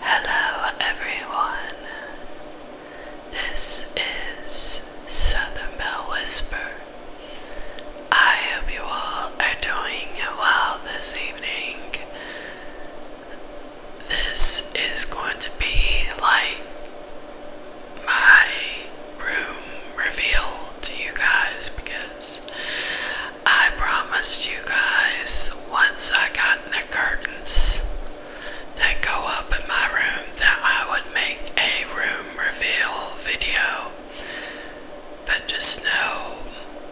Hello, everyone. This is Southern Bell Whisper. I hope you all are doing well this evening. This is going to be like my room reveal to you guys because I promised you guys once I got the curtains that go up in my room that I would make a room reveal video. But just know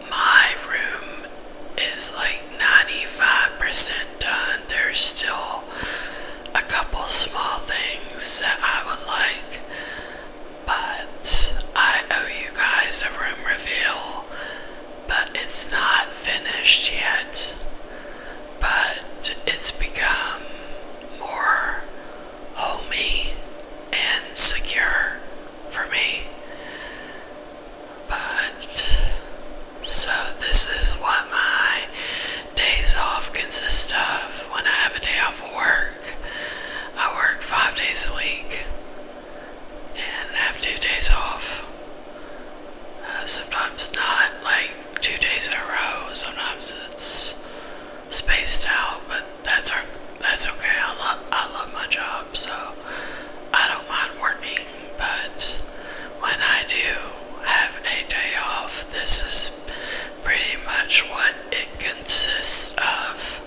my room is like 95% done. There's still a couple small things that I would like, but I owe you guys a room reveal but it's not finished yet. But it's become more homey and secure for me. But so, this is what my days off consist of when I have a day off of work. I work five days a week and have two days off. Uh, sometimes not like two days in a row. Sometimes it's spaced out, but that's our, that's okay. I love I love my job, so I don't mind working. But when I do have a day off, this is pretty much what it consists of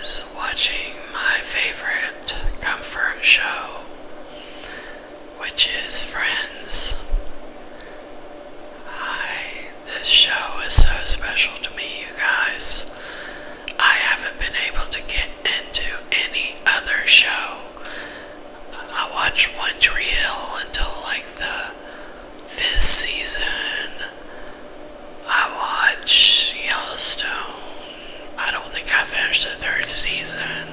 is watching my favorite comfort show, which is Friends. I, this show is so special to me, you guys. I haven't been able to get into any other show. I watched One Tree Hill until like the this season, I watch Yellowstone. I don't think I finished the third season.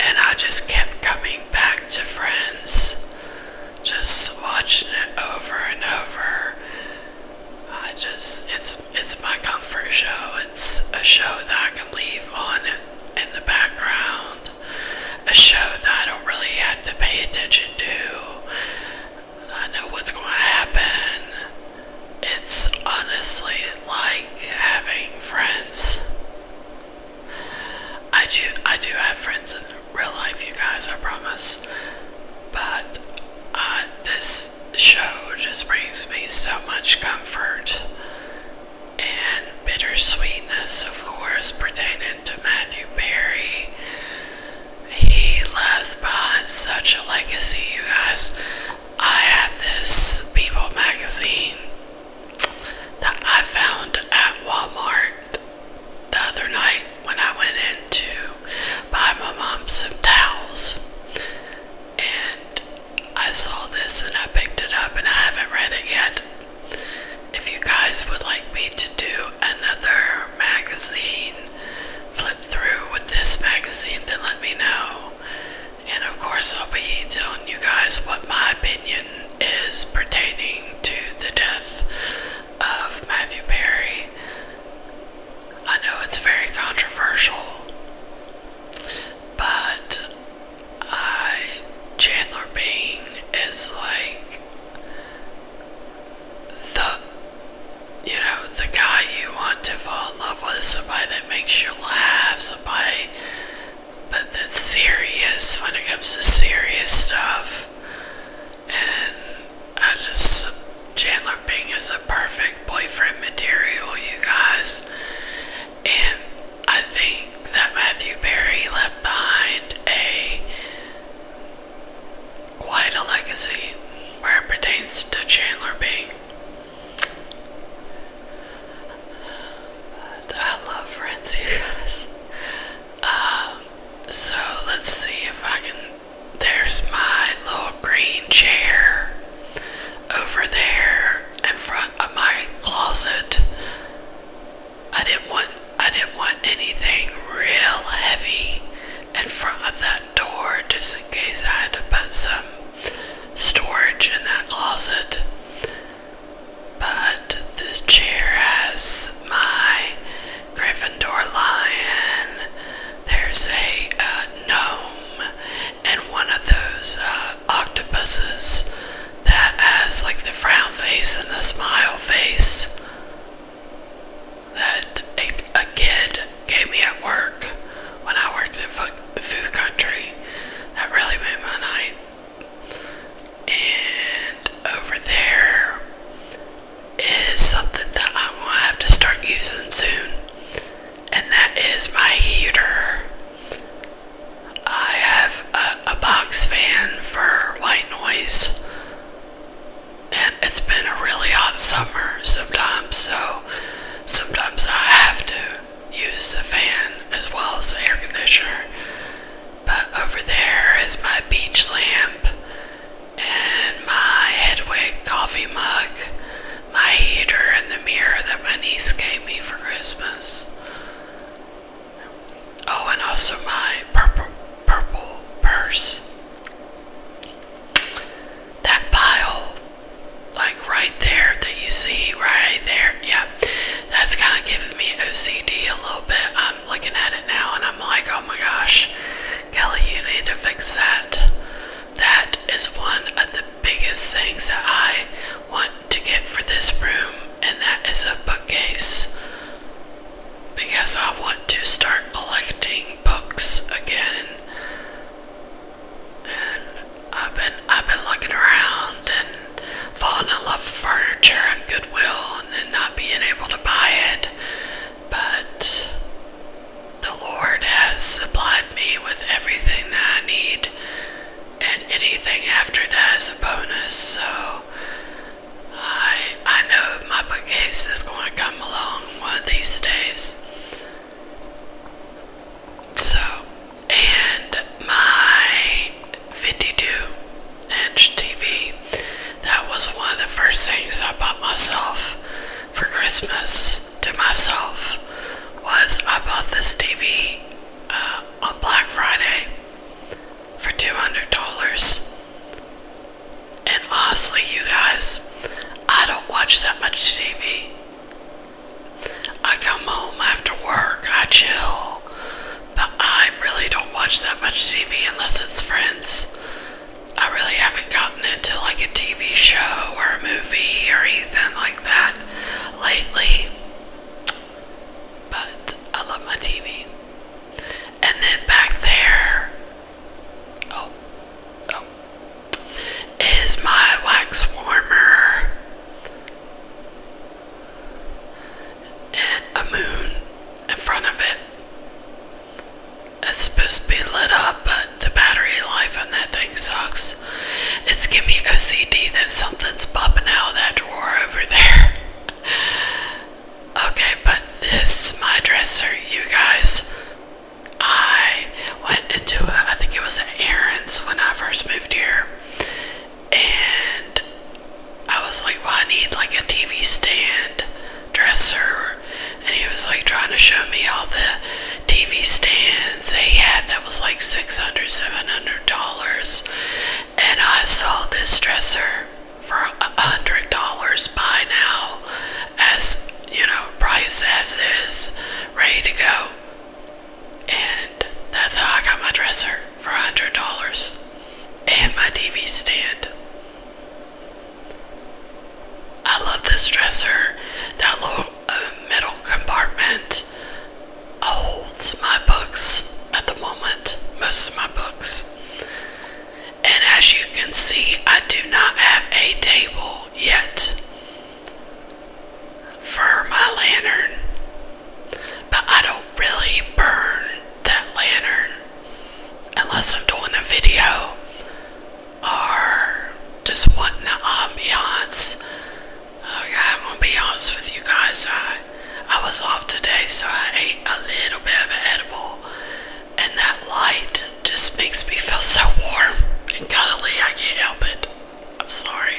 And I just kept coming back to Friends. Just watching it over and over. I just it's it's my comfort show. It's a show that I can leave on in the background. A show that I don't really have to pay attention to. I know what's going to happen. It's honestly like having friends. I do I do have friends in real life, you guys, I promise. But uh, this show just brings me so much comfort and bittersweetness, of course, pertaining to Matthew Perry. He left behind such a legacy, you guys. I have this People magazine that I found at Walmart the other night when I went in to buy my mom some towels. And I saw this and I picked it up and I haven't read it yet. If you guys would like me to do another magazine flip through with this magazine, then let me know. And of course, I'll be telling you guys what my opinion is pertaining to the death of Matthew Perry. I know it's very controversial, but I, Chandler Bing is like the you know, the guy you want to fall in love with, somebody that makes you laugh, somebody but that's serious when it comes to serious stuff. And I just, Chandler Bing is a perfect boyfriend material, you guys. And I think that Matthew Perry left behind a quite a legacy where it pertains to Chandler Bing. I love friends, you guys. Um, so let's see if I can. There's my little green chair over there in front of my closet. I didn't want I didn't want anything real heavy in front of that door just in case I had to put some storage in that closet. But this chair has my Gryffindor lion. There's a gnome and one of those uh, octopuses that has like the frown face and the smile face that a, a kid gave me at work when I worked in food country. That really made my night. And over there is something that i will have to start using soon, and that is my heater. I have a box fan for white noise, and it's been a really hot summer sometimes, so Sometimes I have to use the fan as well as the air conditioner. But over there is my beach lamp and my Hedwig coffee mug, my heater, and the mirror that my niece gave me for Christmas. Oh, and also my purple purple purse that pile like right there that you see right there yeah that's kind of giving me OCD a little bit I'm looking at it now and I'm like oh my gosh Kelly you need to fix that that is one of the biggest things that I want to get for this room and that is a bookcase because I want to start collecting books again and I've been I've been looking around and falling in love with furniture at Goodwill and then not being able to buy it. But the Lord has supplied me with everything that I need and anything after that is a bonus, so I I know my bookcase is going to come along one of these days. So, and my 52 inch TV, that was one of the first things I bought myself for Christmas to myself, was I bought this TV uh, on Black Friday for $200. And honestly, you guys, I don't watch that much TV. I come home after work, I chill, but I really don't watch that much TV unless it's friends. I really haven't gotten into like a TV show or a movie or anything like that lately. But I love my TV. And then back there. Oh, oh, is my wax warmer and a moon in front of it. It's supposed to be lit up, but the battery life on that thing sucks. It's giving me OCD that something's popping out of that drawer over there. okay, but this my dresser, you guys. I went into, a, I think it was an errands when I first moved here, and I was like, well, I need like a TV stand dresser, and he was like trying to show me all the TV stands they had that was like $600, $700, and I saw this dresser for $100 by now as you know, price as is, ready to go. And that's how I got my dresser for $100 and my TV stand. I love this dresser. That little uh, metal compartment holds my books at the moment, most of my books. And as you can see, I do not have a table yet for my lantern, but I don't really burn that lantern unless I'm doing a video or just wanting the ambiance. Okay, I'm gonna be honest with you guys. I I was off today, so I ate a little bit of edible, and that light it just makes me feel so warm and cuddly. I can't help it. I'm sorry.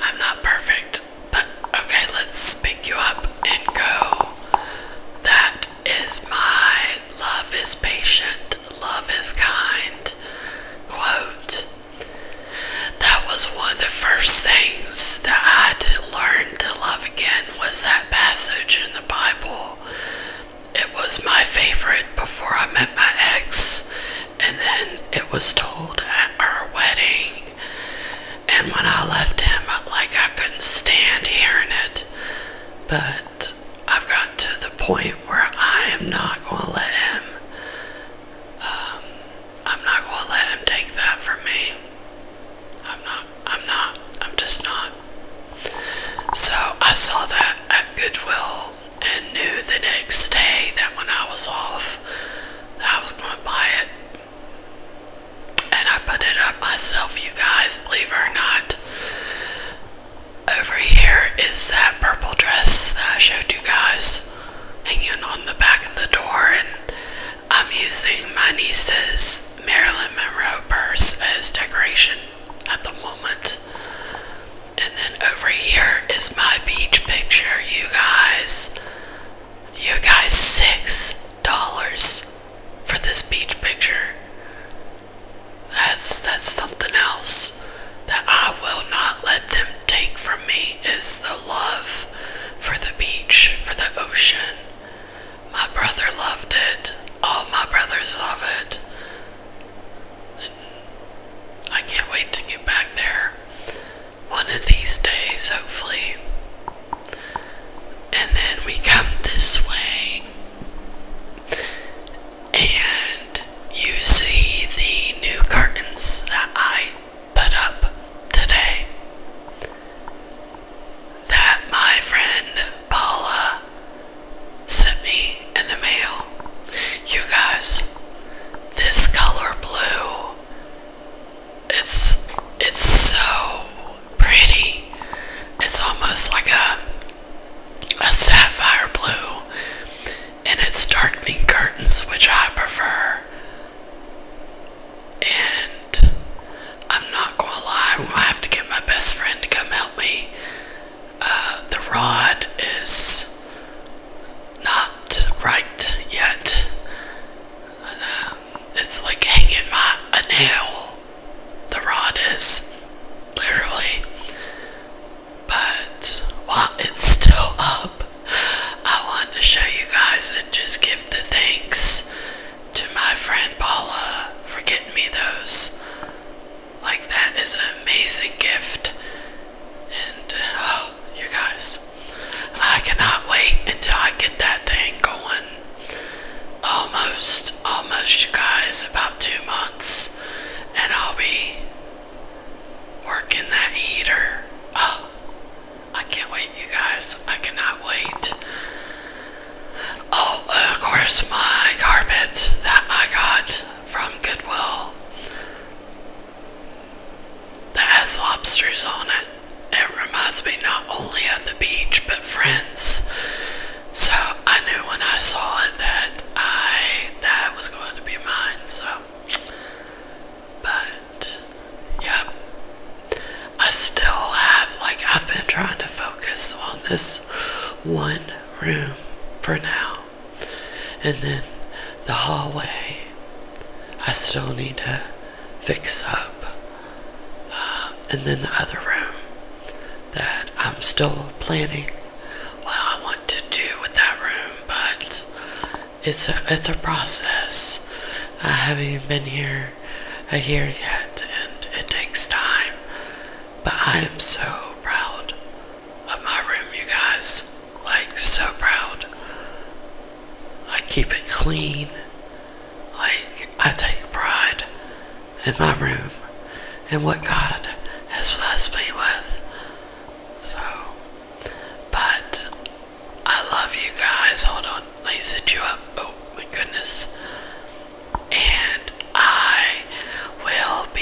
I'm not perfect. But okay, let's pick you up and go. That is my love is patient, love is kind quote. That was one of the first things that I learned to love again was that passage in the Bible it was my favorite before I met my ex, and then it was told at our wedding. And when I left him, like I couldn't stand hearing it. But I've gotten to the point where I am not going to let him. Um, I'm not going to let him take that from me. I'm not. I'm not. I'm just not. So I saw that at Goodwill and knew the next day that when I was off that I was going to buy it. And I put it up myself, you guys, believe it or not. Over here is that purple dress that I showed you guys hanging on the back of the door and I'm using my niece's Marilyn Monroe purse as decoration at the moment. And then over here is my beach picture, you guys. You guys, $6 for this beach picture. That's that's something else that I will not let them take from me is the love for the beach, for the ocean. My brother loved it. All my brothers love it. I can't wait to get back there one of these days, hopefully. And then we come this way, and you see the new curtains that I put up today. That my friend Paula sent me in the mail. You guys, this color blue, it's it's so pretty. It's almost like a a sapphire blue, and it's darkening curtains, which I prefer. And I'm not gonna lie, I'm gonna have to get my best friend to come help me uh, the rod is not right yet. Um, it's like hanging my a nail. The rod is literally, but it's still up, I wanted to show you guys and just give the thanks to my friend Paula for getting me those. Like, that is an amazing gift. And, oh, you guys, I cannot wait until I get that thing going. Almost, almost, you guys, about two months. And I'll be working that heater. Oh, I can't wait, you guys. I cannot wait. Oh, of course, my carpet that I got from Goodwill that has lobsters on it. It reminds me not only of the beach but friends. So I knew when I saw it that I that was going to be mine. So, but yeah, I still have like I've been trying to focus on this one room for now. And then the hallway, I still need to fix up. Uh, and then the other room that I'm still planning what I want to do with that room, but it's a, it's a process. I haven't even been here a year yet, and it takes time. But I am so proud of my room, you guys. Like, so proud. I keep it clean. Like, I take pride in my room and what God has blessed me with. So, but I love you guys. Hold on, I set you up. Oh my goodness. And I will be